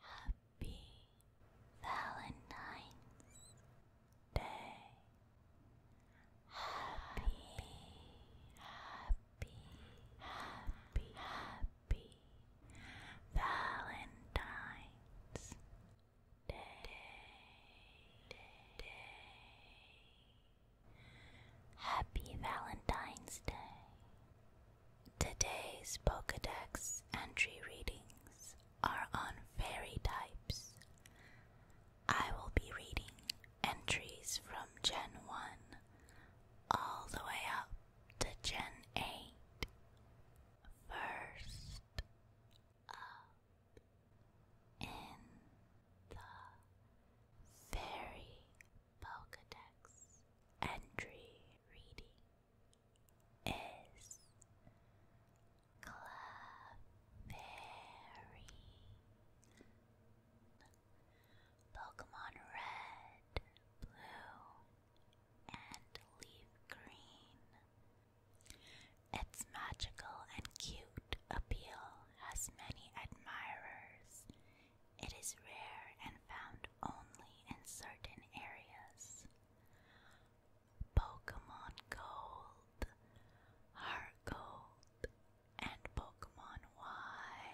Happy Valentine's Day. Happy, happy, happy, happy Valentine's day, day, Happy Valentine's Day. Today's Pokedex entry readings are on fairy types. I will be reading entries from Gen 1 all the way up to Gen 8. First, up in the Fairy Pokedex entry reading is Clefairy. Pokemon Red, Blue, and Leaf Green its magical and cute appeal has many admirers. It is rare and found only in certain areas. Pokemon Gold, Heart Gold, and Pokemon Y.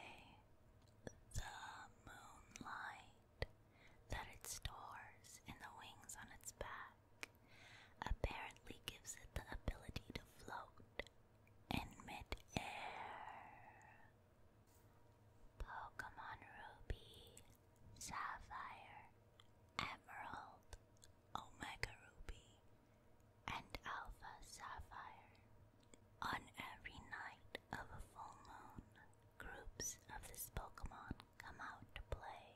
The moonlight that it stores in the wings on its back apparently gives it the ability to float in mid-air. Pokemon Ruby, Sapphire, Emerald, Omega Ruby, and Alpha Sapphire. On every night of a full moon, groups of this Pokemon come out to play.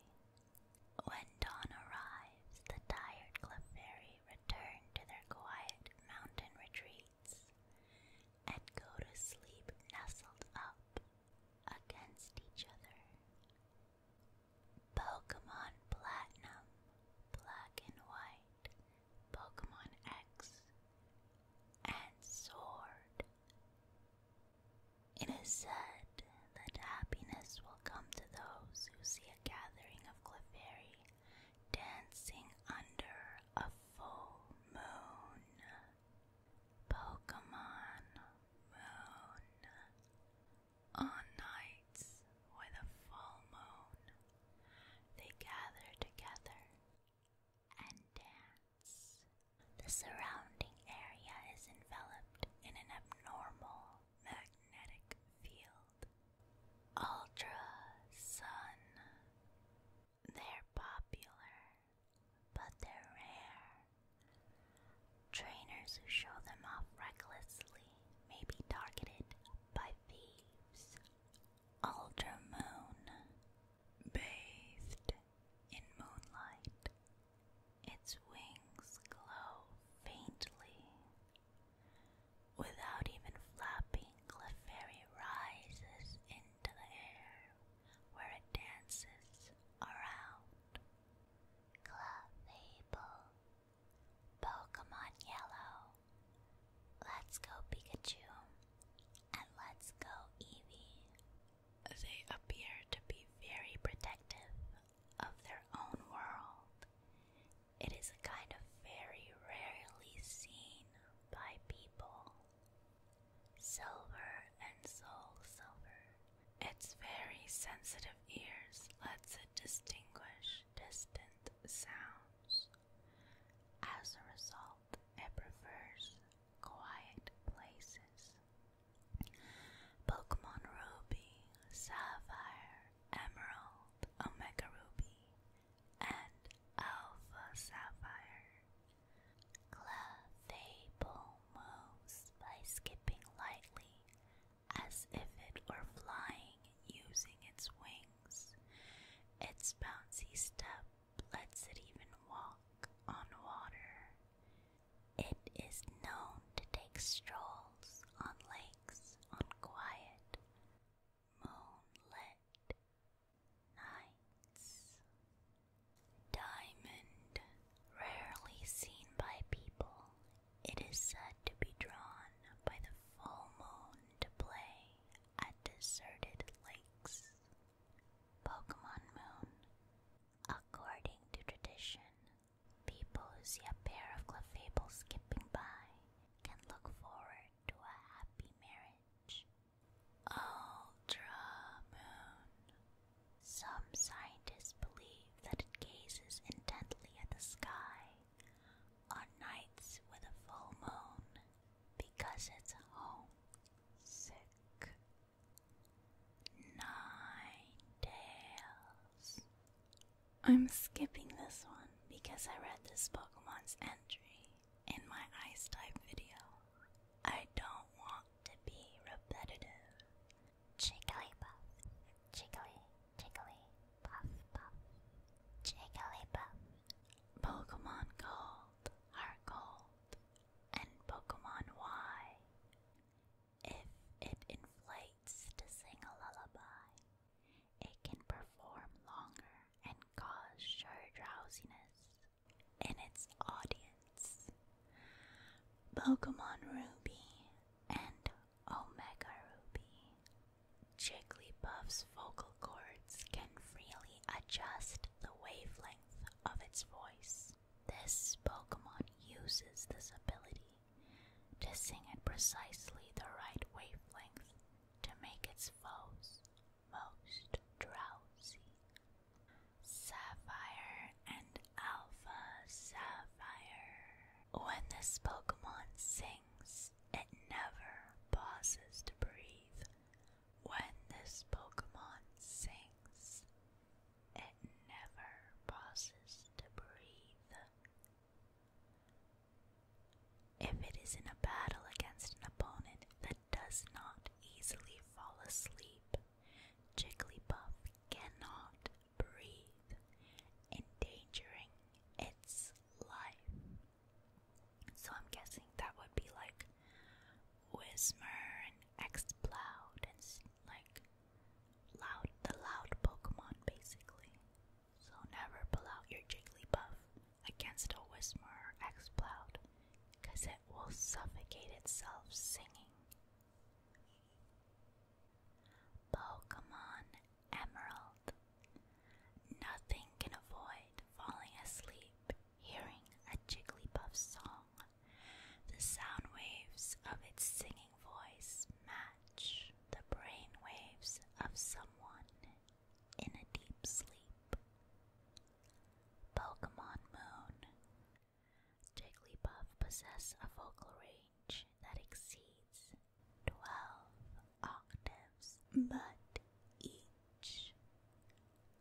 When dawn arrives, the tired Clefairy return to their quiet mountain retreats and go to sleep nestled up against each other. Pokemon Platinum, Black and White, Pokemon X, and Sword it is said that happiness will come to those who see a gathering of Clefairy dancing under a full moon. Pokemon Moon. On nights with a full moon, they gather together and dance. The surrounding area is enveloped in an abnormal magnetic field. Ultra Sun. They're popular, but they're rare. Trainers who show them off recklessly may be targeted by thieves. Ultra Moon. Bathed in moonlight. Its wings glow faintly. Without even flapping, Clefairy rises into the air where it dances around. Clefable. Pokemon Yellow. Let's go Pikachu. And let's go Eevee they appear to be very protective of their own world. It is a kind of very rarely seen by people. Silver and soul silver. Its very sensitive ears lets it distinguish distant sounds. As a result, it prefers quiet places. Pokemon Ruby, Sapphire, Emerald, Omega Ruby, and Alpha Sapphire. Clefable moves by skipping lightly as if it were flying using its wings. Its bouncy step lets it even walk on water. It is known to take strolls on lakes on quiet, moonlit nights. Diamond, rarely seen by people, it is said to be drawn by the full moon to play at deserted lakes. Pokemon Moon According to tradition, people who see a pair of clefables skipping by can look forward to a happy marriage. Ultra Moon. Some scientists believe that it gazes intently at the sky on nights with a full moon because it's home sick Nine tails. I'm skipping this one because I read this Pokemon's entry in my ice type video. I don't want to be repetitive. Jigglypuff, jiggly, jiggly, puff, puff, jigglypuff. Pokemon Gold, Heart Gold, and Pokemon Y. If it inflates to sing a lullaby, it can perform longer and cause sure drowsiness in its audience. Pokemon Ruby and Omega Ruby. Jigglypuff's vocal cords can freely adjust the wavelength of its voice this Pokemon uses this ability to sing at precisely the right wavelength to make its foes most drowsy. Sapphire and Alpha Sapphire. When this Pokemon sings, it never pauses to breathe. When this Pokemon sings, it never pauses to breathe. If it is in a battle against an opponent that does not easily fall asleep, Jigglypuff cannot breathe, endangering its life. So I'm guessing that would be like Whismer and Exploud and like Loud, the loud Pokemon, basically. So never pull out your Jigglypuff against a Whismur or Exploud, cause it will suffocate itself singing. Pokemon Emerald. Nothing can avoid falling asleep hearing a Jigglypuff song. The sound waves of its singing voice match the brain waves of someone in a deep sleep. Pokemon Moon Jigglypuff possess a vocal range that exceeds 12 octaves, but each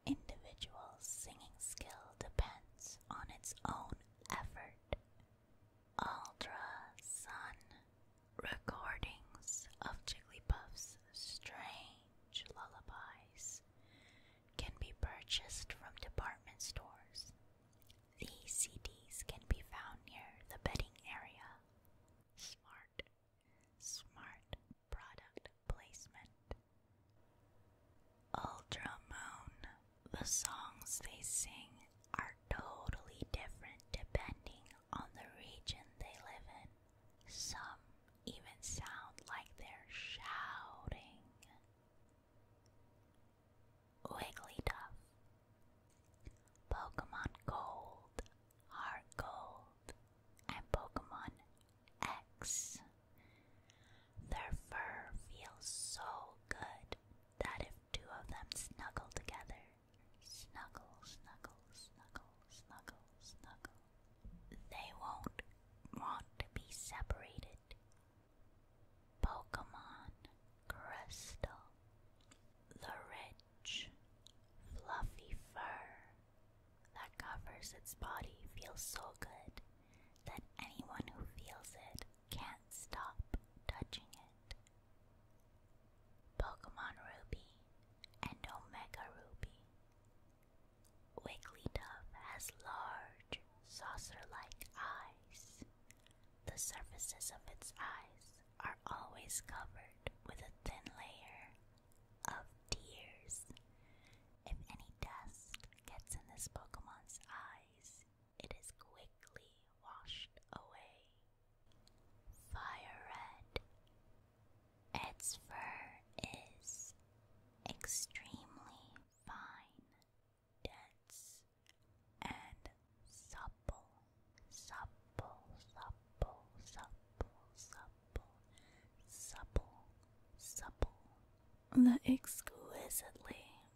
individual's singing skill depends on its own effort Sun recordings of Jigglypuff's strange lullabies can be purchased from department stores. These CDs can be found near the bedding area. Smart, smart product placement. Ultramoon. The songs they sing are totally different depending on the region they live in. Some even sound like they're shouting. Wigglytuff. Pokemon Gold, Heart Gold, and Pokemon X their fur feels so good that if two of them snuggle together, snuggle, snuggle, snuggle, snuggle, snuggle, they won't want to be separated. Pokemon Crystal. The rich, fluffy fur that covers its body feels so good that anyone who feels it can't stop touching it. Pokemon Ruby and Omega Ruby. Wigglytuff has large, saucer like eyes. The surfaces of its eyes are always covered with a thin layer of tears. If any dust gets in this Pokemon's eyes, it is quickly washed away. Fire red. Its fur is extremely fine, dense, and supple, supple, supple, supple, supple, supple, supple, the exquisitely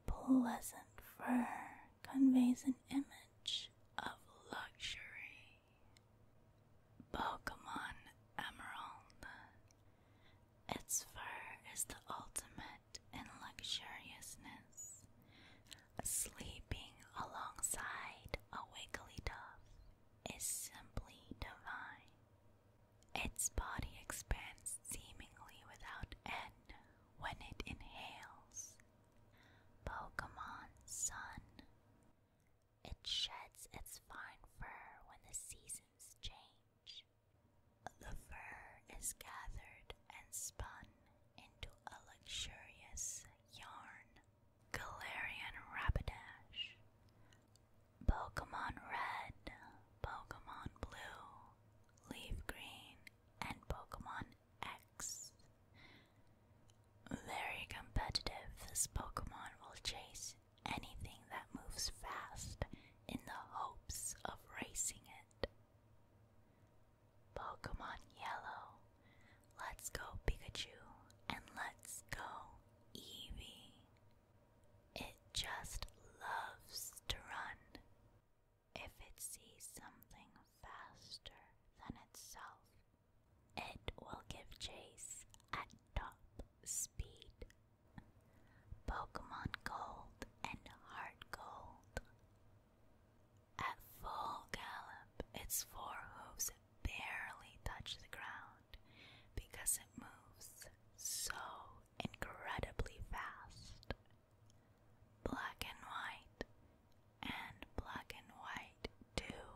pleasant fur conveys an image of luxury. Pokemon Emerald. Its fur is the ultimate in luxuriousness, sleeping alongside a Wigglytuff is simply divine. Its body expands seemingly without end, when it inhales. Pokemon Sun. It sheds its fine fur when the seasons change. The fur is gathered and spun into a luxurious yarn. Galarian Rapidash. Pokemon Red, Pokemon Blue, Leaf Green, and Pokemon X. Very competitive, this Pokemon will chase anything that moves fast in the hopes of racing it. Pokemon Yellow, let's go Pikachu and let's go Eevee. It just loves to run. If it sees something faster than itself, it will give chase at top speed. Pokemon Gold and Heart Gold. At full gallop, its four hooves barely touch the ground because it moves so incredibly fast. Black and white and black and white too.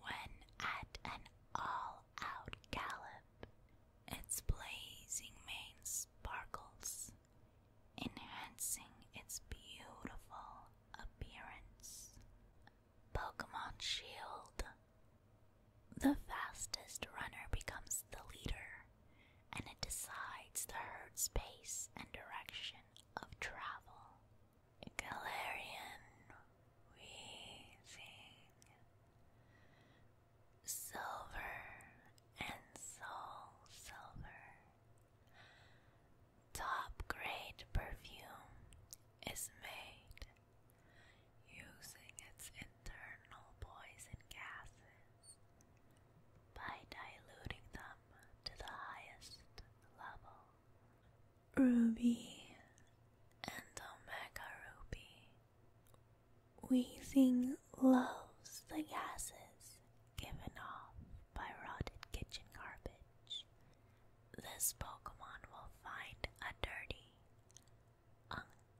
When at an all out gallop, its blazing mane sparkles, enhancing its beautiful appearance. Pokemon Shield. The fastest runner becomes the leader, and it decides the herd's pace and direction of travel. Galarian wheezing, silver and soul silver. Top grade perfume is made using its internal poison gases by diluting them to the highest level. Ruby and Omega Ruby. Wheezing loves the gases given off by rotted kitchen garbage. This Pokemon will find a dirty,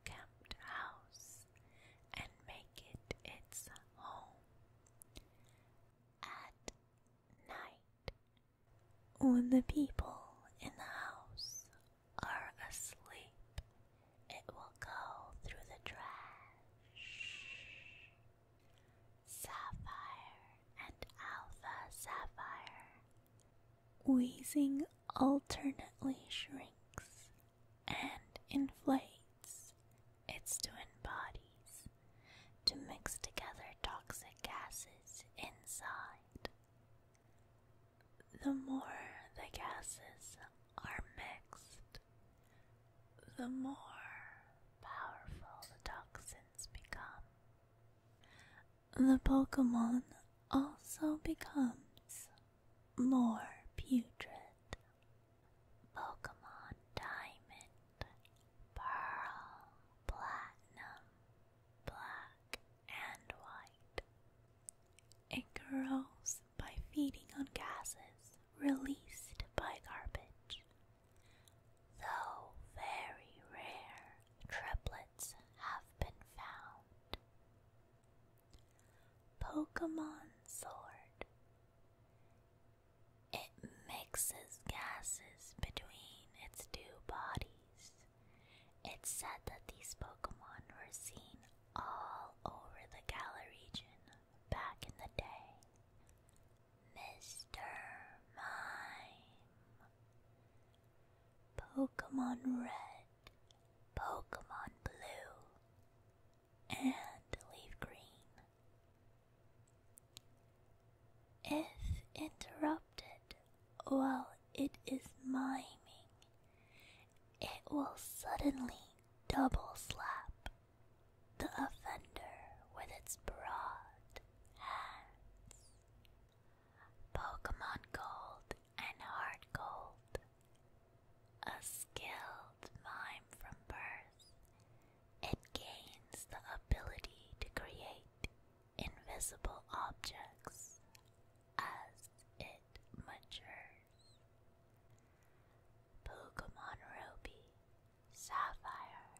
camped house and make it its home. At night, when the people in the house are asleep, it will go through the trash. Sapphire and Alpha Sapphire, wheezing alternately shrinks and inflates its twin bodies to mix together toxic gases inside. The more the gases are mixed, the more powerful the toxins become. The Pokemon also becomes more putrid. Pokemon Diamond, Pearl, Platinum, Black, and White. It grows by feeding on gases released by garbage. Though very rare, triplets have been found. Pokemon Sword. It mixes gases between its two bodies. It's said that these Pokemon were seen all over the Gala region back in the day. Mr. Mime. Pokemon Red. Pokemon Blue and leave green. If interrupted while it is miming, it will suddenly double slap the offender with its broad hands. Pokemon Gold and Heart Gold a skilled mime from birth, it gains the ability to create invisible objects as it matures. Pokemon Ruby, Sapphire,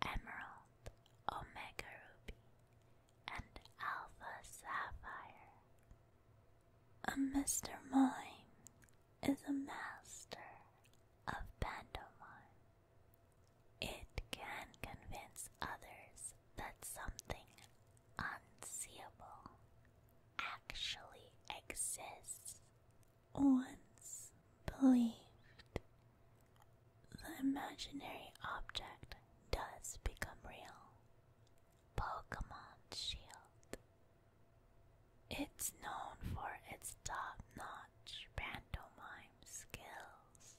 Emerald, Omega Ruby, and Alpha Sapphire. Mr. Mime is a master of pantomime. It can convince others that something unseeable actually exists. Once believed, the imaginary object does become real. Pokemon Shield it's known for its top notch pantomime skills.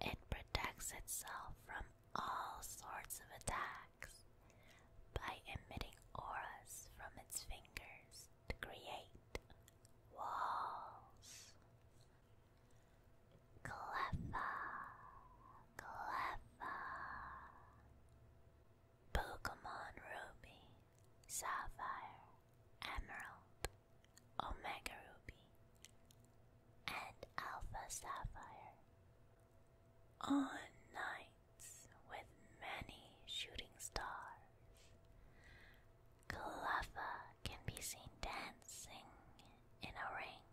It protects itself from all sorts of attacks by emitting auras from its fingers to create walls. Clever, clever. Pokemon Ruby, Sapphire, Emerald, Omega Ruby, and Alpha Sapphire. On nights with many shooting stars, Kalappa can be seen dancing in a ring.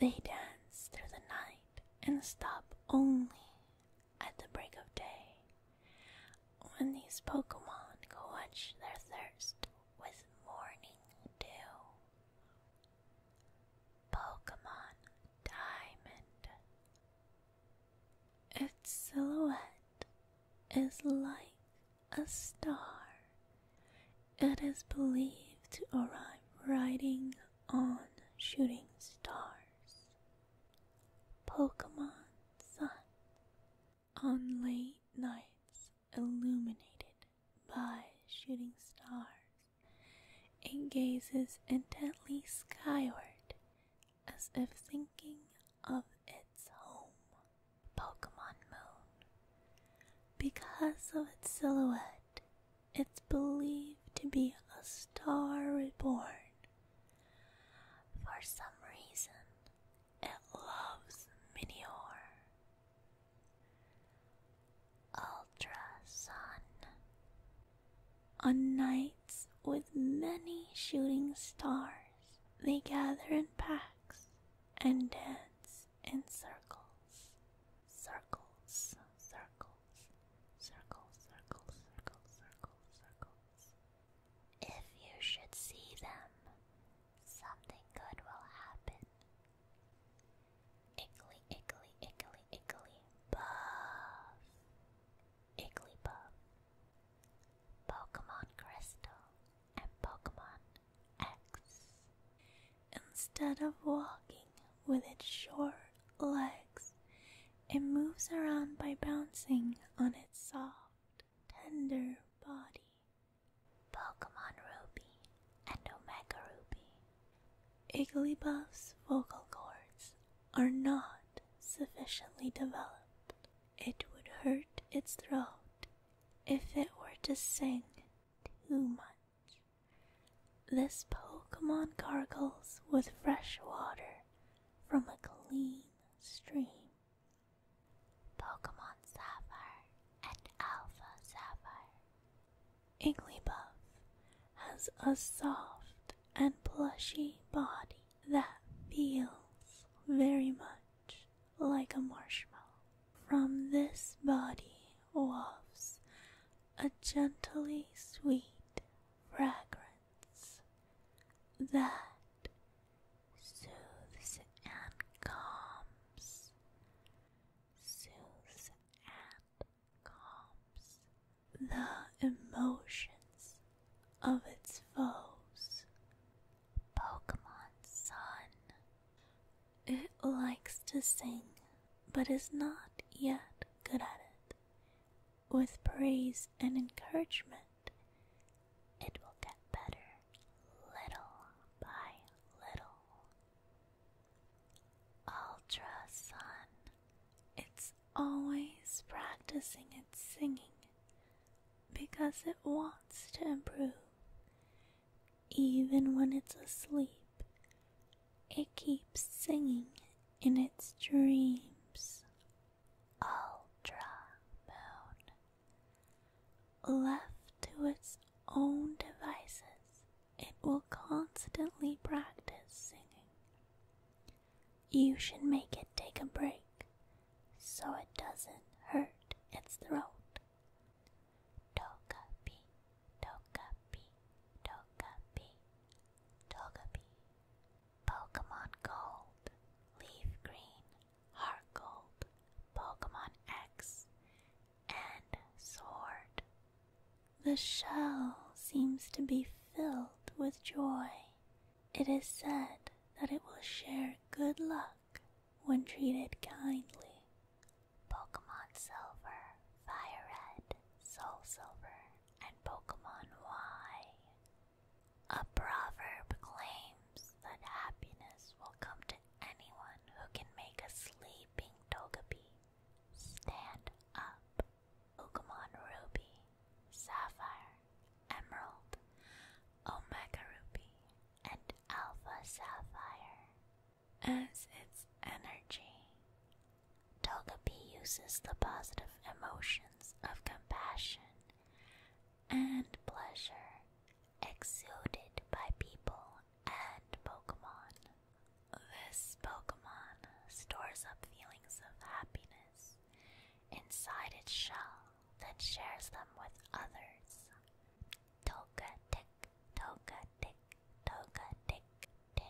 They dance through the night and stop only at the break of day. When these Pokemon quench their thirst with morning dew. Pokemon Diamond. Its silhouette is like a star. It is believed to arrive riding on shooting stars. Pokemon Sun on late nights illuminated by shooting stars, it gazes intently skyward as if thinking of its home. Pokemon Moon. Because of its silhouette, it's believed to be a star reborn. For some reason, it loves meteor. Ultra Sun. On nights with many shooting stars, they gather in packs and dance in circles, circles, circles circles, circles, circles, circles, circles, If you should see them, something good will happen. Iggly, iggly, iggly, iggly, buff. Iggly buff. Pokemon Crystal and Pokemon X. Instead of walking with its short legs. It moves around by bouncing on its soft, tender body. Pokemon Ruby and Omega Ruby. Igglybuff's vocal cords are not sufficiently developed. It would hurt its throat if it were to sing too much. This Pokemon gargles with fresh water from a clean stream. Pokemon Sapphire and Alpha Sapphire. Igglybuff has a soft and plushy body that feels very much like a marshmallow. From this body wafts a gently sweet fragrance that soothes and calms, soothes and calms the emotions of its foes. Pokemon Sun. It likes to sing, but is not yet good at it with praise and encouragement, it will get better little by little. Ultra Sun, it's always practicing its singing because it wants to improve. Even when it's asleep, it keeps singing in its dreams. Ultra Left to its own devices, it will constantly practice singing. You should make it take a break so it doesn't hurt its throat. Tokapi, tokapi, tokapi, tokapi, Pokemon Gold, Leaf Green, Heart Gold, Pokemon X, and Sword. The shell seems to be filled with joy. It is said that it will share good luck when treated kindly. Pokemon Silver, Fire Red, Soul Silver, and Pokemon Y. A proverb claims that happiness will come to anyone who can make a sleeping Togepi stand up. Pokemon Ruby, Sapphire, Emerald, Omega Ruby, and Alpha Sapphire. As its energy, Togepi uses the positive emotions of compassion and pleasure exuded by people and Pokemon. This Pokemon stores up feelings of happiness inside its shell then shares them with others. Togetic, Togetic, Togetic, tick,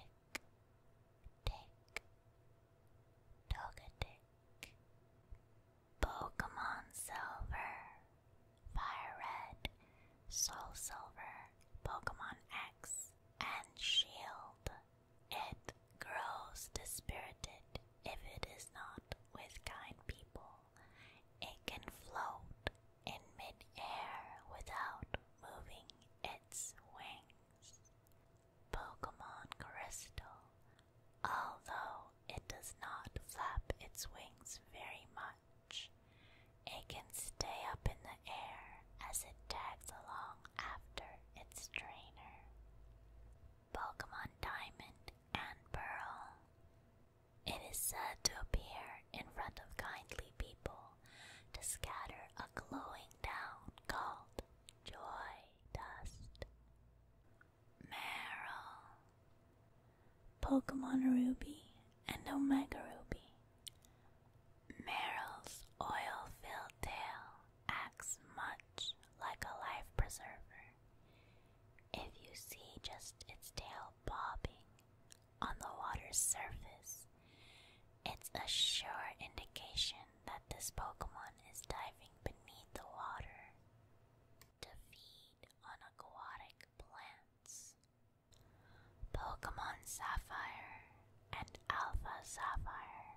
Tick, Togetic, Pokemon Silver, Fire Red, Soul Silver, Pokemon X, and Shield. It grows dispirited if it is not with kind people. It can float in midair without moving its wings. Pokemon Crystal, although it does not flap its wings very much, it can stay up in the air as it tags along after its trainer. Pokemon Diamond and Pearl. It is said to appear in front of kindly people to scatter a glowing down called Joy Dust, Meryl, Pokemon Ruby and Omega Ruby, Meryl's oil filled tail acts much like a life preserver. If you see just its tail bobbing on the water's surface, it's a sure indication that this Pokemon is diving beneath the water to feed on aquatic plants. Pokemon Sapphire and Alpha Sapphire,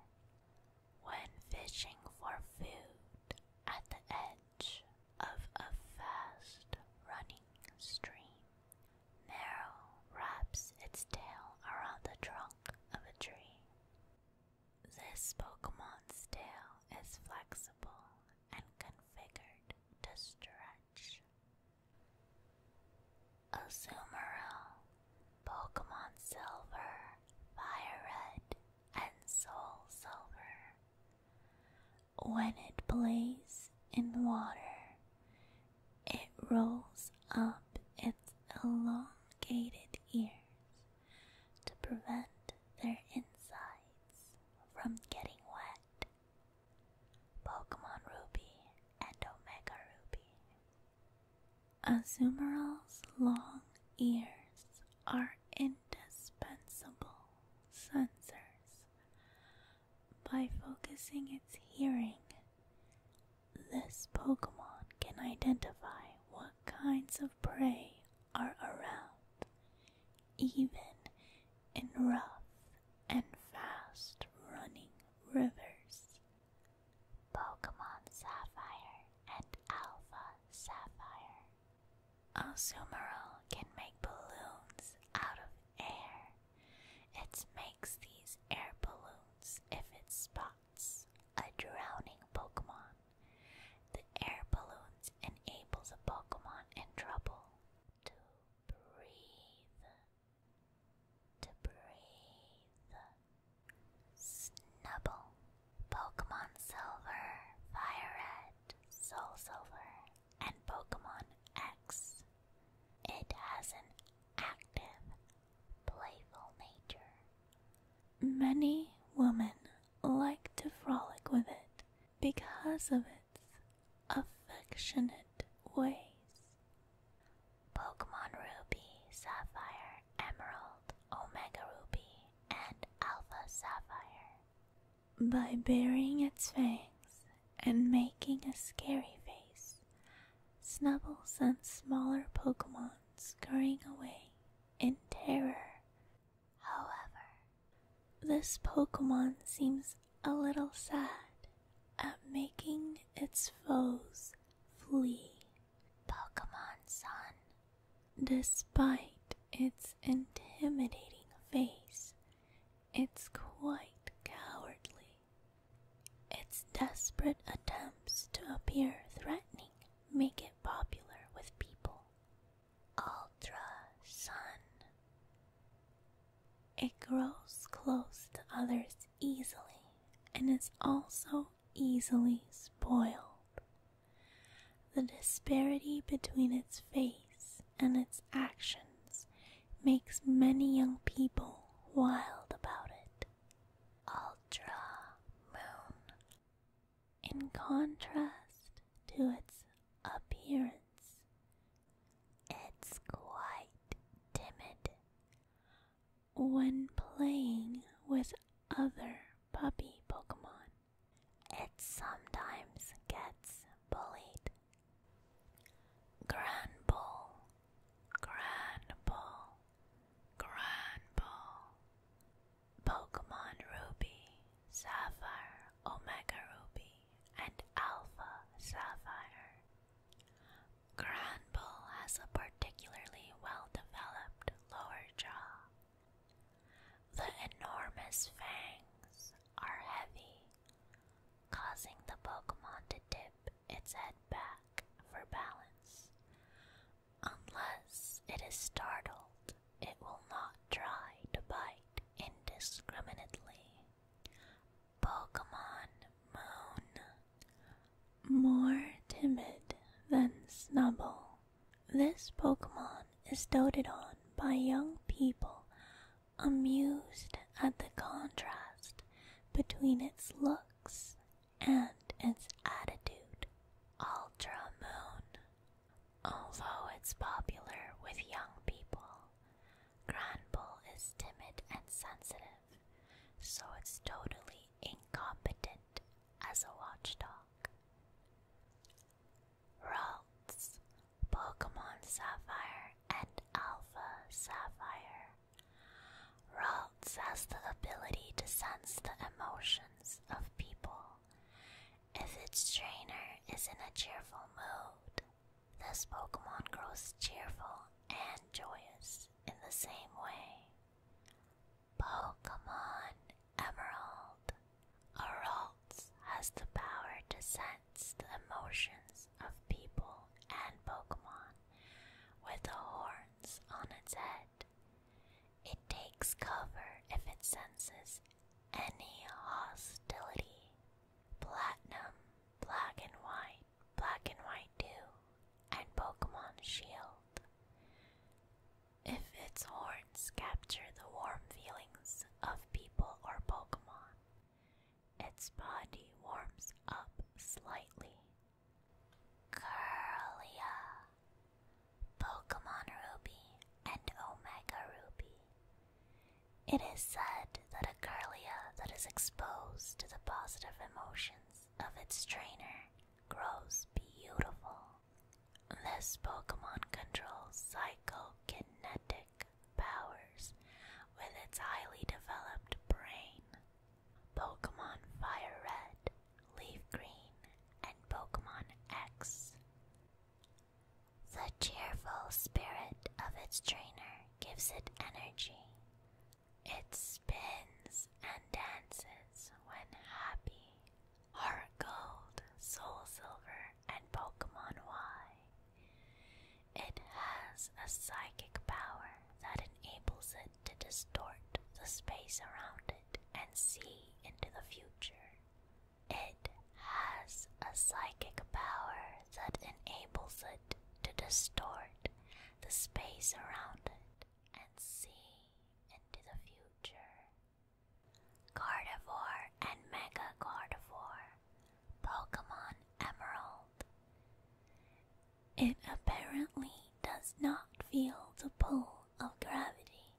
when fishing for food at the edge of a fast running stream, Narrow wraps its tail around the trunk of a tree. This Pokemon's tail is flexible and configured to stretch. Azumarill, Pokemon Silver, Fire Red, and Soul Silver. When it plays in water, it rolls up its elongated ears to prevent their insides from getting wet. Pokemon Ruby and Omega Ruby. Azumarilla's long ears are indispensable sensors. By focusing its hearing this Pokemon can identify what kinds of prey are around, even in rough and fast running rivers. Pokemon Sapphire and Alpha Sapphire. Azumarill can make balloons out of air. It makes these air balloons if it spots a drowning Pokemon. The air balloons enables a Pokemon in trouble to breathe. To breathe. Snubble. Pokemon Silver, Fire Red, and Pokemon X. It has an active playful nature. Many women like to frolic with it because of its affectionate ways. Pokemon Ruby, Sapphire, Emerald, Omega Ruby, and Alpha Sapphire. By baring its fangs and making a scary face, Snubbles and smaller Pokemon scurrying away in terror. However, this Pokemon seems a little sad at making its foes flee. Pokemon Sun, despite its intimidating face, it's quite cowardly its desperate attempts to appear threatening make it popular with people. Ultra Sun. It grows close to others easily and is also easily spoiled. The disparity between its face and its actions makes many young people wild about it. Ultra Moon. In contrast to its appearance, it's quite timid. When playing with other puppy Pokemon, it sometimes gets bullied. Granbull Granbull, Granbull, Pokemon Ruby, Sapphire, Omega Ruby, and Alpha Sapphire. Granbull has a particularly well developed lower jaw. The enormous fangs are heavy, causing the Pokemon to dip its head back for balance. Unless it is startled, it will not try to bite indiscriminately. Pokemon Moon. More timid than Snubble, this Pokemon is doted on by young people amused at the contrast between its looks and its attitude, Ultra Moon. Although it's popular with young people, Granbull is timid and sensitive, so it's totally incompetent as a watchdog. Ralts, Pokemon Sapphire and Alpha Sapphire Ralts has the ability to sense the emotions of people. If its trainer is in a cheerful mood, this Pokemon grows cheerful and joyous in the same way. Pokemon Emerald. Aralts has the power to sense the emotions of people and Pokemon with the horns on its head. It takes cover if it senses any hostility. Platinum, black and white, black and white 2, and Pokemon Shield. If its horns capture the warm feelings of people or Pokemon, its body warms up slightly Curlia, Pokemon Ruby, and Omega Ruby. It is said that a Curlia that is exposed to the positive emotions of its trainer grows beautiful. This Pokemon controls psychokinetic powers with its highly developed brain. Pokemon Fire Red, Leaf Green, and Pokemon X. The cheerful spirit of its trainer gives it energy. It spins and dances when happy. Heart Gold, Soul Silver, and Pokemon Y. It has a psychic power that enables it to distort the space around it and see into the future. It has a psychic power that enables it to distort the space around it and see into the future. Gardevoir and Mega Gardevoir, Pokemon Emerald. It apparently does not feel the pull of gravity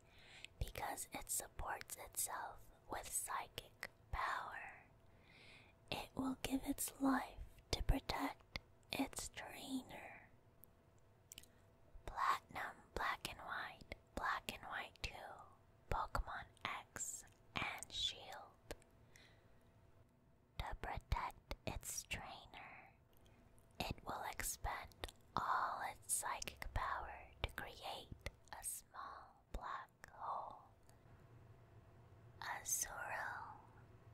because it supports itself with psychic power. It will give its life to protect its trainer. Platinum Black and White, Black and White 2, Pokemon X, and Shield. To protect its trainer, it will expend all its psychic power to create a small black hole. a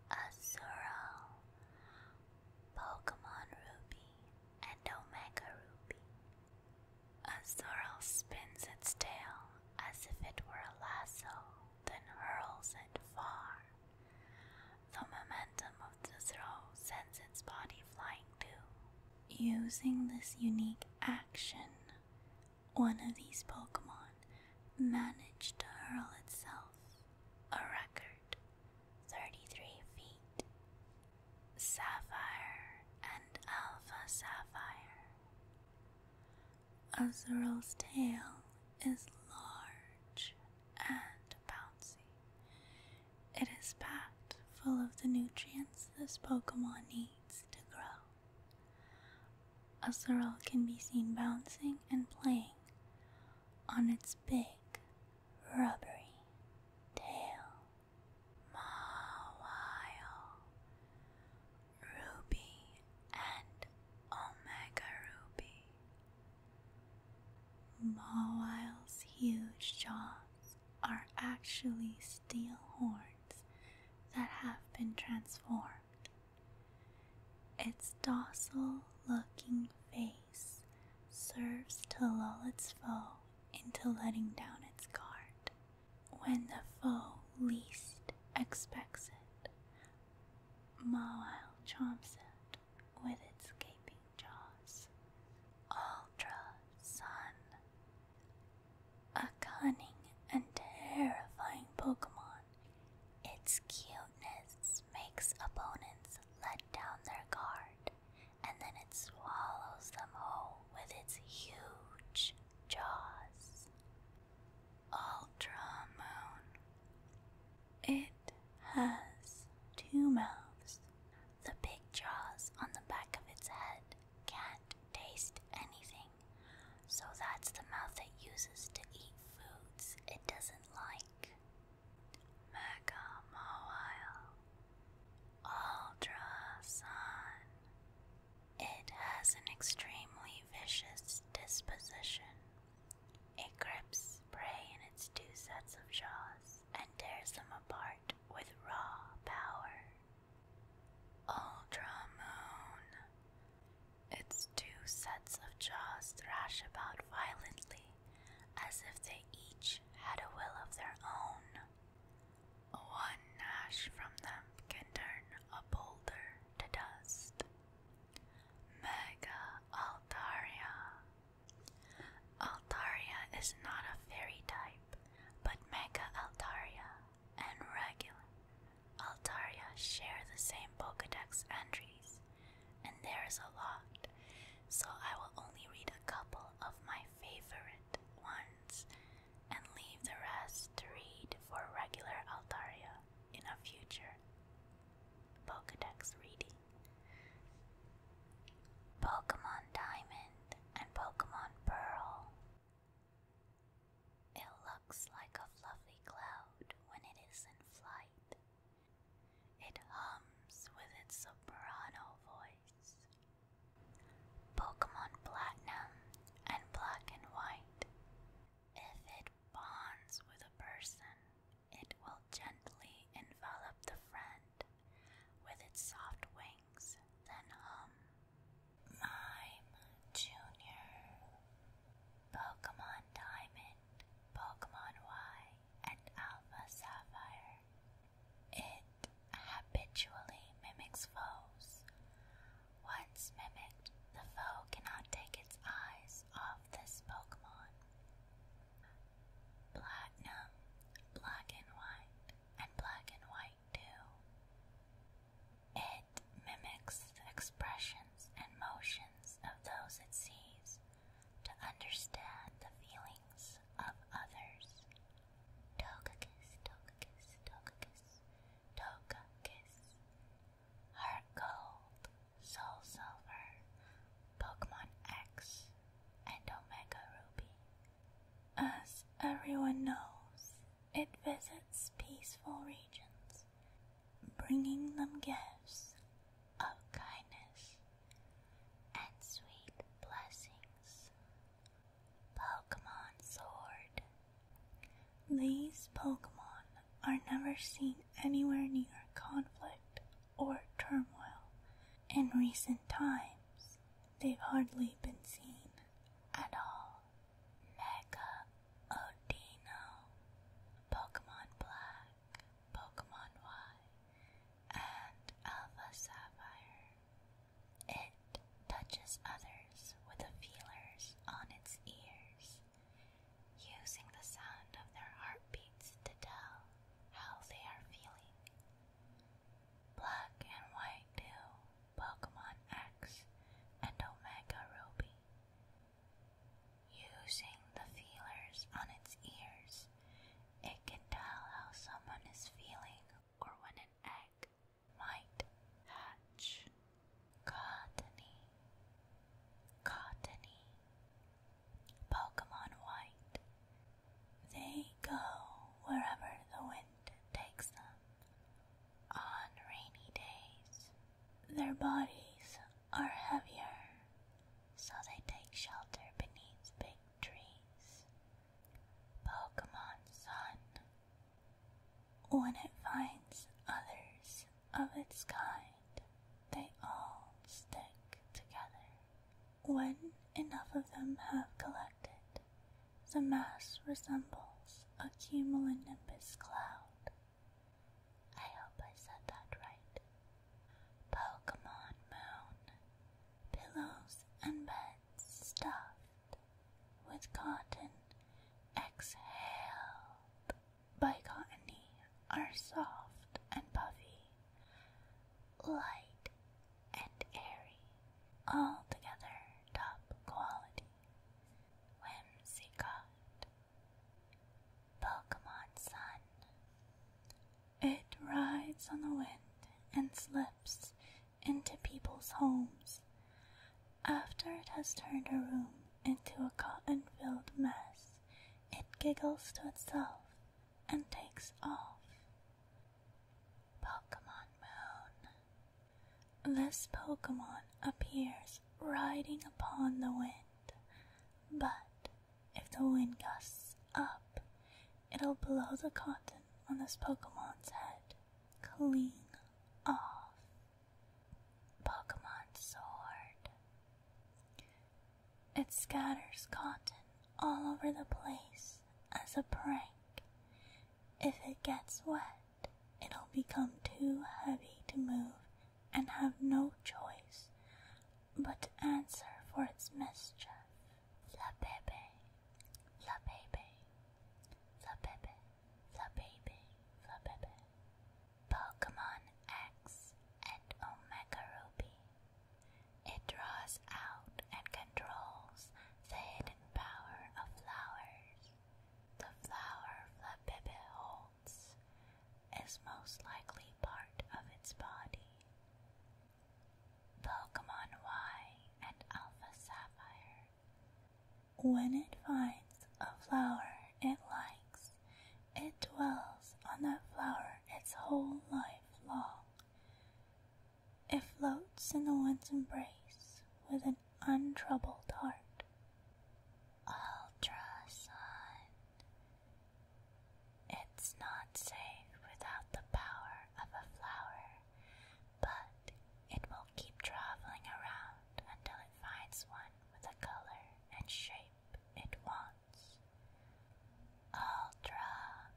Azurill, Pokemon Ruby and Omega Ruby. Azurill spins its tail as if it were a lasso, then hurls it far the momentum of the throw sends its body flying too. Using this unique action, one of these Pokemon managed to hurl itself a record 33 feet. Sapphire and Alpha Sapphire. Azural's tail is large and bouncy. It is packed full of the nutrients this Pokemon needs to grow. A Sorrel can be seen bouncing and playing on its big, rubbery tail. Mawile, Ruby, and Omega Ruby Mawil's huge jaws are actually steel horns that have been transformed. Its docile looking face serves to lull its foe into letting down its guard when the foe least expects it. Mawile chomps it with its gaping jaws. Ultra Sun. A cunning and terrifying Pokemon, its cuteness makes opponents let down their guard and then it swallows them whole with its huge jaws. Ultra Moon. It has two mouths. The big jaws on the back of its head can't taste anything, so that's the mouth it uses to eat foods it doesn't like. Mega Mobile It has an extremely vicious disposition. It grips prey in its two sets of jaws and tears them apart with raw power. Ultra Its two sets of jaws thrash about violently as if they each had a will of their own. One gnash from them can turn a boulder to dust. Mega Altaria. Altaria is not a fairy type, but Mega Altaria and regular Altaria share the same Pokedex entries, and there's a lot, so I will only read a couple of my favorite ones and leave the rest to read for regular Altaria in a future Pokedex reading. Pokemon Diamond and Pokemon Pearl. It looks like a fluffy cloud when it is in flight. It hums with its soprano voice. Pokemon Platinum and Black and White. If it bonds with a person, it will gently envelop the friend with its soft wings, then hum. Mime Junior, Pokemon Diamond, Pokemon Y, and Alpha Sapphire. It habitually mimics foes. Once mimicked, the foe cannot take its eyes off this Pokemon. Platinum, black and white, and black and white too. It mimics the expressions and motions of those it sees to understand the feelings of others. Togekiss, Togekiss, Togekiss, Togekiss. Heart gold, Soul Silver, Pokemon X, and Omega Ruby. As everyone knows, it visits peaceful regions, bringing them gifts of kindness and sweet blessings. Pokemon Sword. These Pokemon are never seen anywhere near conflict or turmoil, in recent times, they've hardly been seen at all. Mega Odino, Pokemon Black, Pokemon Y, and Alpha Sapphire. It touches others with feelers on its ears, using the sound of their heartbeats to tell how they are feeling. Black and White Tail, Pokemon X, and Omega Ruby. Using the feelers on its ears, it can tell how someone is feeling or when an egg might hatch. Cottony. Cottony. Pokemon White. They go wherever the wind takes them. On rainy days, their bodies are heavier, so they take shelter beneath big trees. Pokemon Sun. When it finds others of its kind, they all stick together. When enough of them have collected, the mass resembles a cumulonimbus cloud. I hope I said that right. Pokemon Moon. Pillows and beds stuffed with cotton exhaled by cottony are soft and puffy light, and airy, altogether top quality. Whimsicott. Pokemon Sun. It rides on the wind and slips into people's homes after it has turned a room into a cotton filled mess. It giggles to itself and takes off. Pokemon Moon. This Pokemon appears riding upon the wind, but if the wind gusts up, it'll blow the cotton on this Pokemon's head clean off. Pokemon Sword. It scatters cotton all over the place as a prank. If it gets wet, it'll become too heavy to move and have no choice but to answer for its mischief. La bebe, la bebe, la bebe, la bebe, la bebe. Pokemon X and Omega Ruby it draws out and controls the hidden power of flowers. The flower Flabébé holds is most likely part of its body. Pokemon Y and Alpha Sapphire. When it finds a flower it likes, it dwells on that flower its whole life long. It floats in the wind's embrace with an untroubled heart. Ultrasun. It's not safe without the power of a flower, but it will keep traveling around until it finds one with a color and shape it wants. Ultra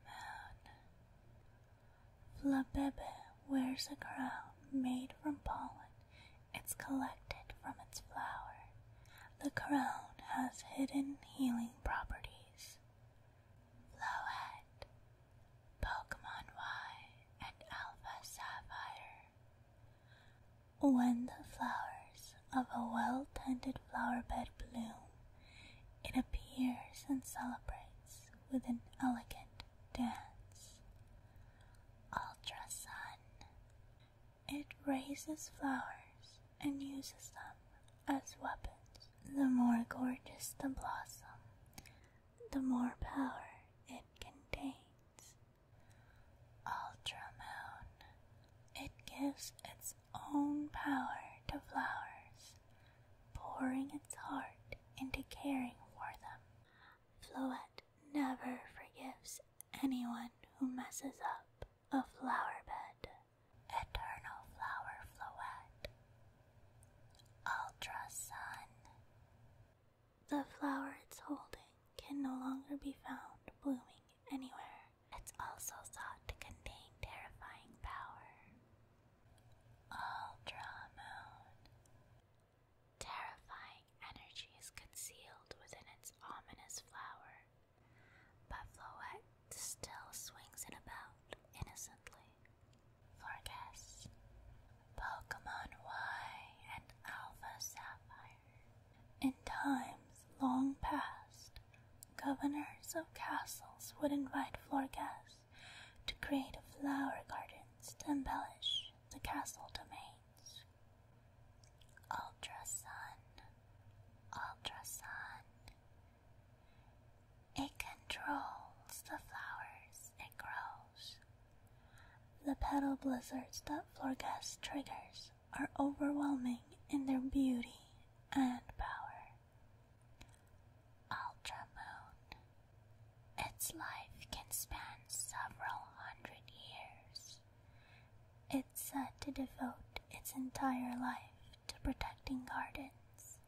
Moon. Flabébé wears a crown made from pollen. It's collected from its flower. The crown has hidden healing properties. Flowette, Pokemon Y, and Alpha Sapphire. When the flowers of a well tended flower bed bloom, it appears and celebrates with an elegant dance. Ultra sun, It raises flowers and uses them as weapons. The more gorgeous the blossom, the more power it contains. Ultra moon, It gives its own power to flowers, pouring its heart into caring for them. Floette never forgives anyone who messes up a flower bed. Eternal flower Floette. Ultra sun. The flower it's holding can no longer be found blooming anywhere. It's also sought to contain terrifying power. Ultra Moon. Terrifying energy is concealed within its ominous flower, but Floette still swings it about innocently. Forgess. Pokemon Y and Alpha Sapphire. In times long past, governors of castles would invite floor guests to create flower gardens to embellish the castle domains. Ultrasun, ultrasun. It controls the flowers it grows. The petal blizzards that Florgas triggers are overwhelming in their beauty and power. Ultramoon. Its life can span several hundred years. It's said to devote its entire life to protecting gardens.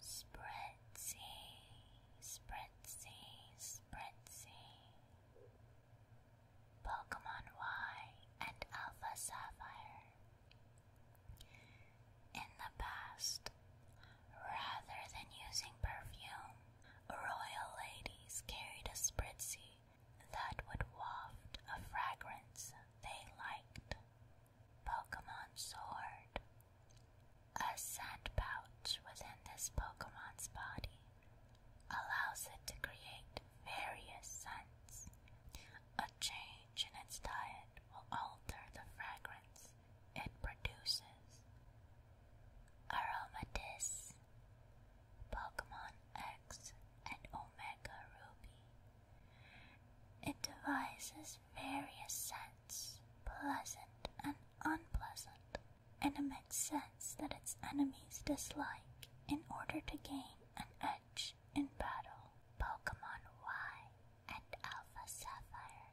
Spritzy, spritzy, spritzy. Pokemon Y and Alpha Sapphire. In the past, rather than using perfume, royal ladies carried a spritzie that would waft a fragrance they liked. Pokemon Sword. A scent pouch within this Pokemon's body allows it to create various scents. A chain change in its diet will alter the fragrance it produces. Aromatis Pokemon X and Omega Ruby. It devises various scents, pleasant and unpleasant, and emits scents that its enemies dislike in order to gain an edge in Battle Pokemon Y and Alpha Sapphire.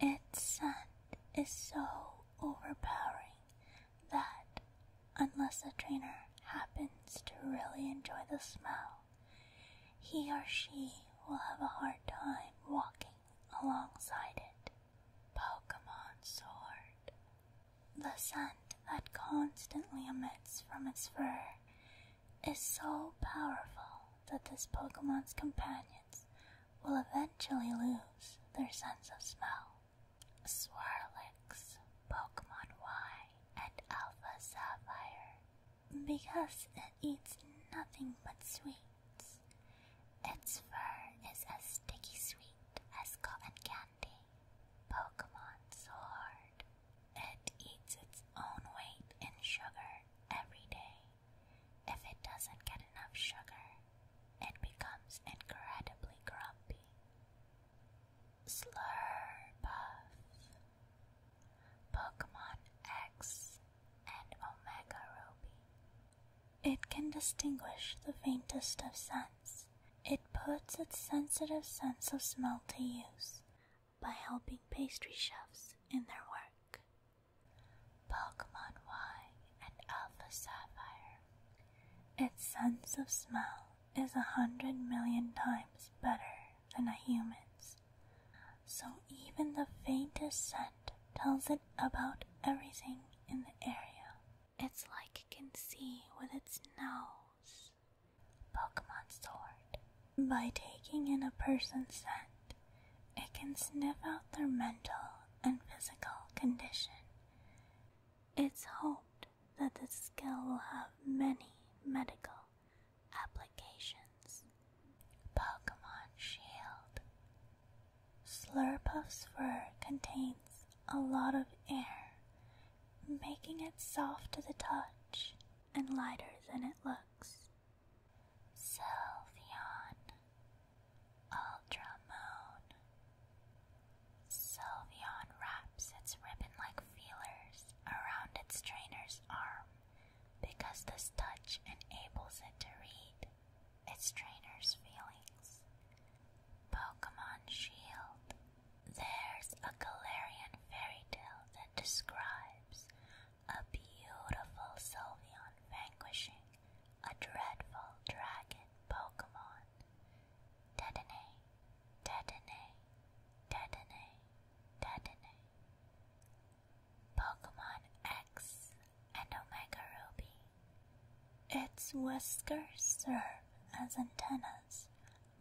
Its scent is so overpowering that, unless a trainer happens to really enjoy the smell, he or she will have a hard time walking alongside it. Pokemon Sword. The scent that constantly emits from its fur is so powerful that this Pokemon's companions will eventually lose their sense of smell. Swirlix, Pokemon Y, and Alpha Sapphire. Because it eats nothing but sweets, its fur is as sticky sweet as cotton candy. Pokemon Sword, it eats its own weight in sugar every day. If it doesn't get enough sugar, it becomes incredibly grumpy. Slurpuff. Pokemon X and Omega Ruby. It can distinguish the faintest of scents. It puts its sensitive sense of smell to use, by helping pastry chefs in their work. Pokemon Y and Alpha Sapphire. Its sense of smell is a hundred million times better than a human's, so even the faintest scent tells it about everything in the area. It's like it can see with its nose. Pokemon Sword. By taking in a person's scent, it can sniff out their mental and physical condition. It's hoped that this skill will have many medical applications. Pokemon Shield. Slurpuff's fur contains a lot of air, making it soft to the touch and lighter than it looks. Sylveon, Ultramoon. Sylveon wraps its ribbon like feelers around its trainer's arm because this touch enables it to read its trainer's feelings. Pokemon Shield. There's a Galarian fairy tale that describes a beautiful Sylveon vanquishing a dreadful dragon Pokemon. Dedenne, Dedenne, Dedenne, Dedenne. Pokemon X and Omega Ruby. Its whiskers serve as antennas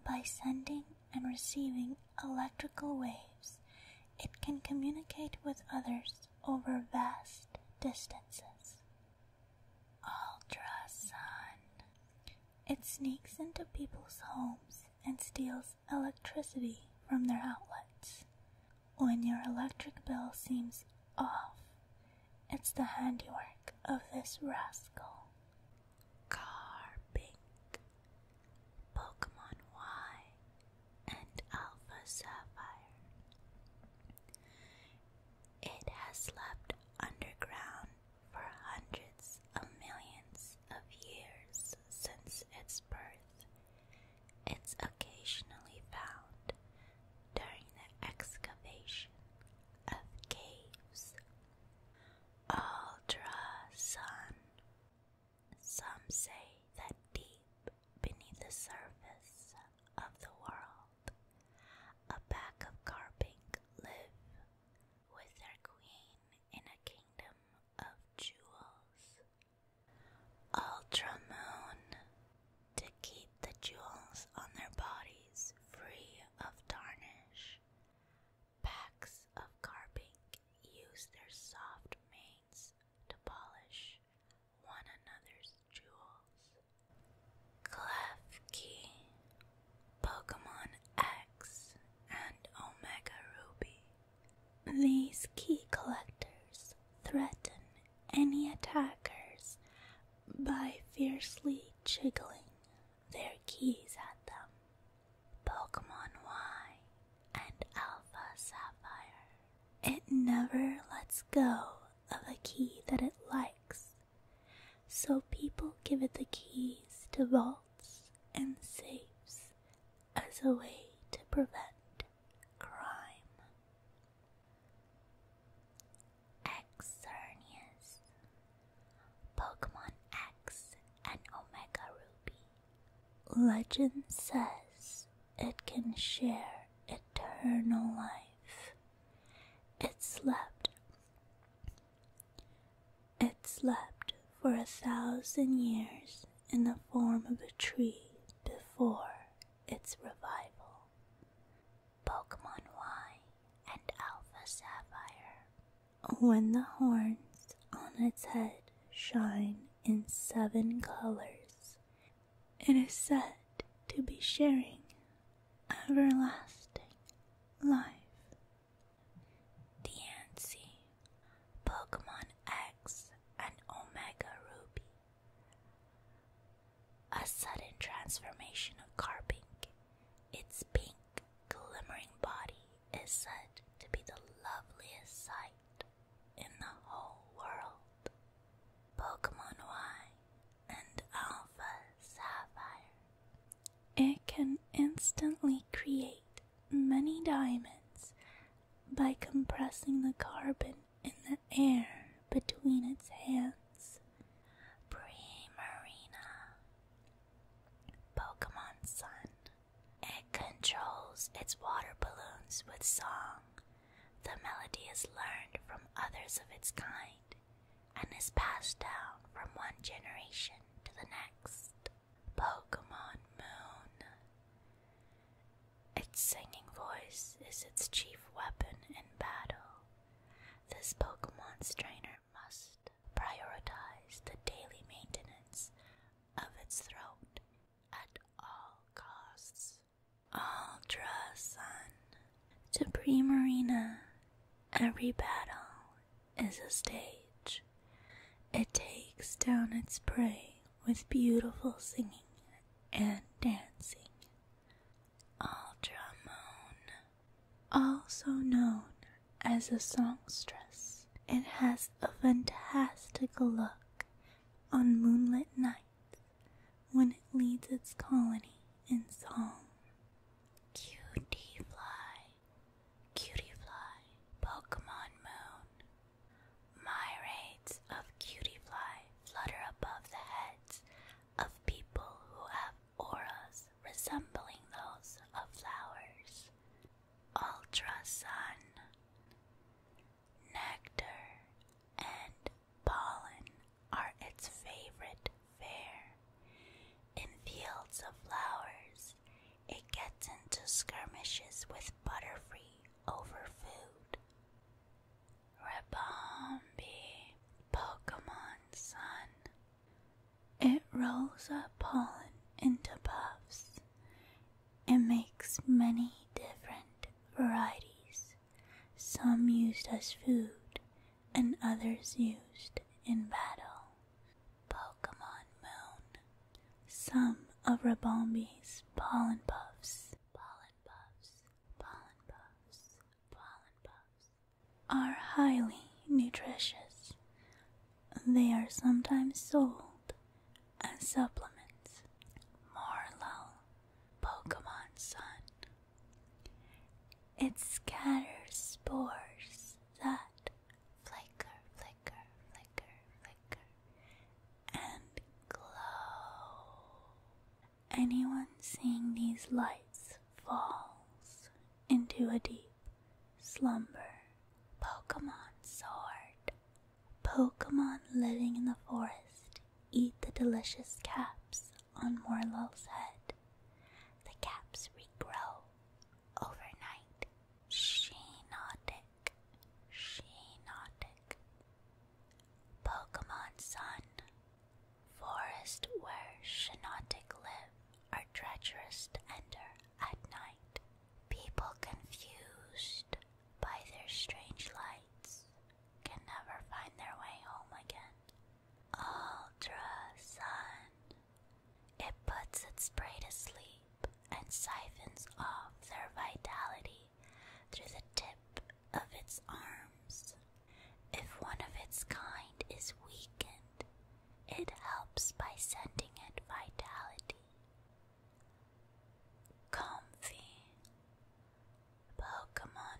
by sending and receiving electrical waves, it can communicate with others over vast distances. Ultrasun. It sneaks into people's homes and steals electricity from their outlets. When your electric bill seems off, it's the handiwork of this rascal. Carpink, Pokemon Y, and Alpha Sapphire. It has slept underground for hundreds of millions of years since its birth. It's occasionally found during the excavation of caves. Ultra Sun some say that deep beneath the surface of the world, a pack of carping live with their queen in a kingdom of jewels. moon to keep the jewels on their bodies free of tarnish, Packs of carping use their soft manes to polish one another's jewels. Klefki, Pokemon X, and Omega Ruby. These key collectors threaten any attackers by fiercely jiggling their keys at them. Pokemon Y, and Alpha Sapphire. It never lets go of a key that it likes, so people give it the keys to vaults and safes as a way to prevent crime. Exernius. Pokemon X and Omega Ruby. Legend says it can share eternal life. It slept. It slept for a thousand years in the form of a tree before its revival. Pokemon Y and Alpha Sapphire when the horns on its head shine in seven colors, it is said to be sharing everlasting life. Diancie, Pokemon X and Omega Ruby. A sudden transformation of Carpink. It's pink glimmering body is said to be the loveliest sight in the whole world. Pokemon Y and Alpha Sapphire. It can instantly create many diamonds by compressing the carbon in the air between its hands. Primarina. Pokemon Sun. It controls its water balloons with song. The melody is learned from others of its kind and is passed down from one generation to the next. Pokemon Moon. Its singing voice is its chief weapon in battle. This Pokemon trainer must prioritize the daily maintenance of its throat at all costs. Ultra Sun to Pre Marina, every battle is a stage. It takes down its prey with beautiful singing and dancing. Ultra Moon, also known as a songstress. It has a fantastic look on moonlit nights when it leads its colony in song. Cutie Fly, Cutie Fly, Pokemon Moon. Myriads of Cutie Fly flutter above the heads of people who have auras resembling those of flowers ultrasun, nectar, and pollen are its favorite fare. In fields of flowers, it gets into skirmishes with butterfree over food. Rebombi, Pokemon Sun. It rolls up pollen into puffs it makes many different varieties, some used as food and others used in battle. Pokemon Moon. Some of Rabombi's pollen puffs, pollen puffs, pollen puffs, pollen puffs are highly nutritious. They are sometimes sold as supplements. Marlow, Pokemon Sun. It scatters spores that flicker, flicker, flicker, flicker, and glow. Anyone seeing these lights falls into a deep slumber. Pokemon Sword. Pokemon living in the forest eat the delicious caps on Morlul's head. The caps regrow overnight. Shenotic. Shenotic. Pokemon Sun. Forest where Shenotic live are treacherous to enter at night, people confused by their strange lights can never find their way home again. Ultrasun. It puts its prey to sleep and siphons off their vitality through the tip of its arms. If one of its kind is weakened, it helps by sending it vitality. Comfy Pokemon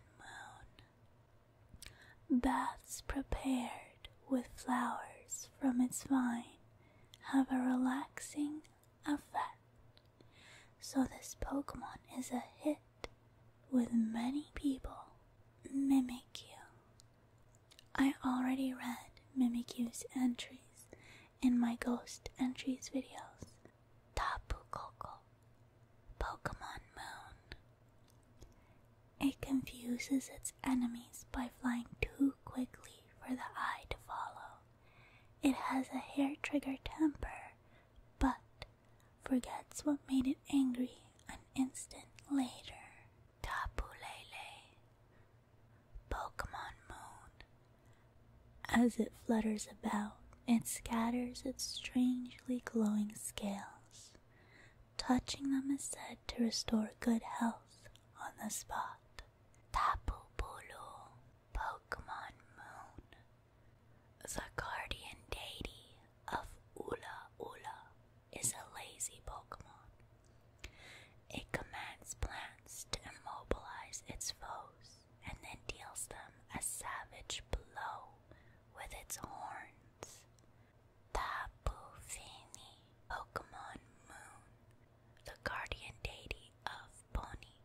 Moon Baths prepared with flowers from its vine have a relaxing effect. So, this Pokemon is a hit with many people. Mimikyu. I already read Mimikyu entries in my Ghost Entries videos. Tapu Koko, Pokemon Moon. It confuses its enemies by flying too quickly for the eye to follow. It has a hair trigger temper, but forgets what made it angry an instant later. Tapu Lele, Pokemon Moon, as it flutters about it scatters its strangely glowing scales. Touching them is said to restore good health on the spot. Tapu Bulu, Pokemon Moon, the guardian deity of Ula Ula, is a lazy Pokemon. It commands plants to immobilize its foes and then deals them a savage blow with its horns. Tapu Fini, Pokemon Moon, the guardian deity of Pony.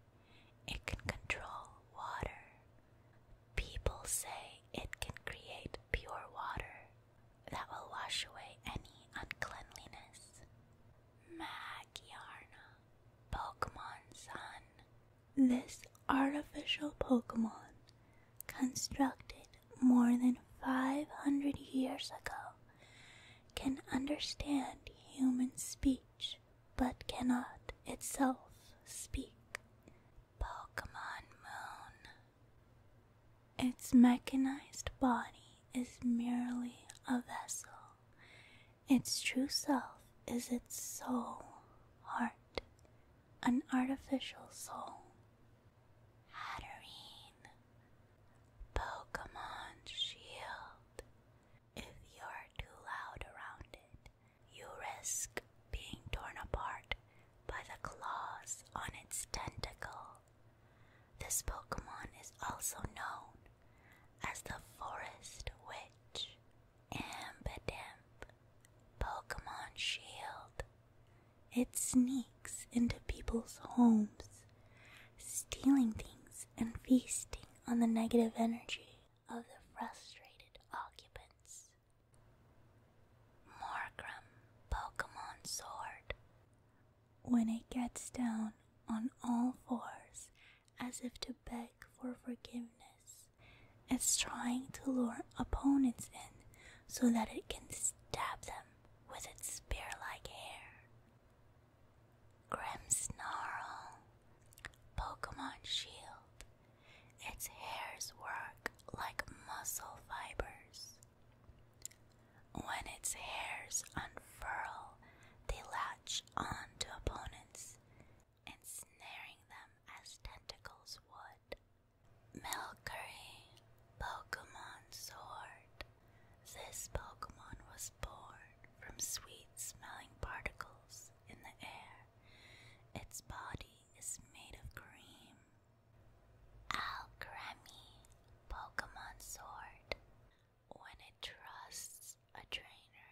It can control water. People say it can create pure water that will wash away any uncleanliness. Magiarna, Pokemon Sun. This artificial Pokemon, constructed more than 500 years ago, can understand human speech but cannot itself speak. Pokemon Moon. Its mechanized body is merely a vessel. Its true self is its soul, heart, an artificial soul. Hatterene, Pokemon Shield. If you're too loud around it, you risk being torn apart by the claws on its tentacle. This Pokemon is also known as the Forest Witch, Ambidamp, Pokemon Shield. It sneaks into people's homes, stealing things and feasting on the negative energy of the frustrated occupants. Morgrim, Pokemon Sword. When it gets down on all fours as if to beg for forgiveness, it's trying to lure opponents in so that it can stab them with its spear like hair. Grim Snarl, Pokemon Shield, its hairs work like muscle fibers. When its hairs unfurl, they latch on to opponents, ensnaring them as tentacles would. Melcurry, Pokemon Sword. This Pokemon was born from sweet smelling particles in the air. Its body is made of cream. Alcremie, Pokemon Sword. When it trusts a trainer,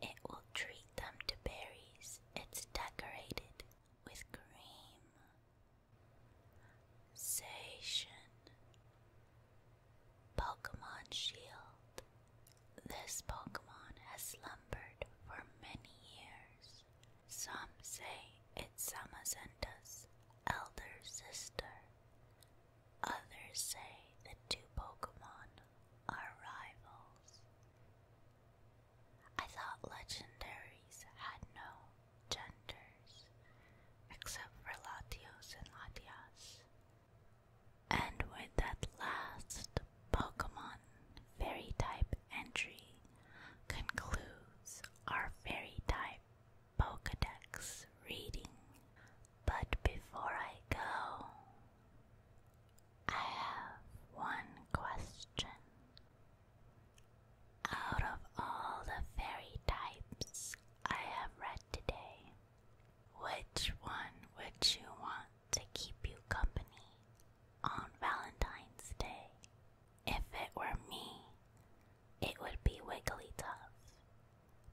it will treat them to berries. It's decorated with cream. Sation Pokemon Shield. This Pokemon has slumbered for many years. Some say it's Samazenta's elder sister. Others say the two Pokemon are rivals. I thought legendaries had no genders, except for Latios and Latias. And with that last Pokemon fairy type entry concludes our fairy type Pokedex reading. But before I go, I have one question. Out of all the fairy types I have read today, which one would you want to keep you company on Valentine's Day? If it were me, it would be Wigglytuff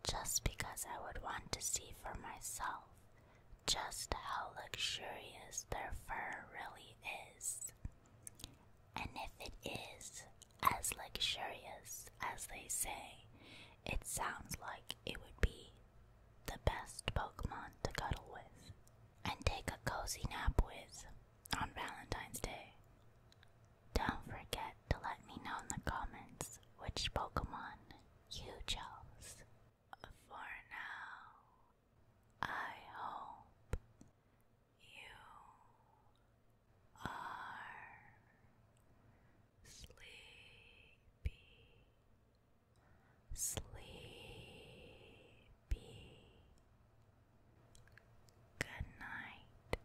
just because I would want to see for myself just how luxurious their fur really is. And if it is as luxurious as they say, it sounds like it would be the best Pokemon to cuddle with and take a cozy nap with on Valentine's Day. Don't forget to let me know in the comments which Pokemon you chose. For now, I hope you are sleepy, sleepy. Good night.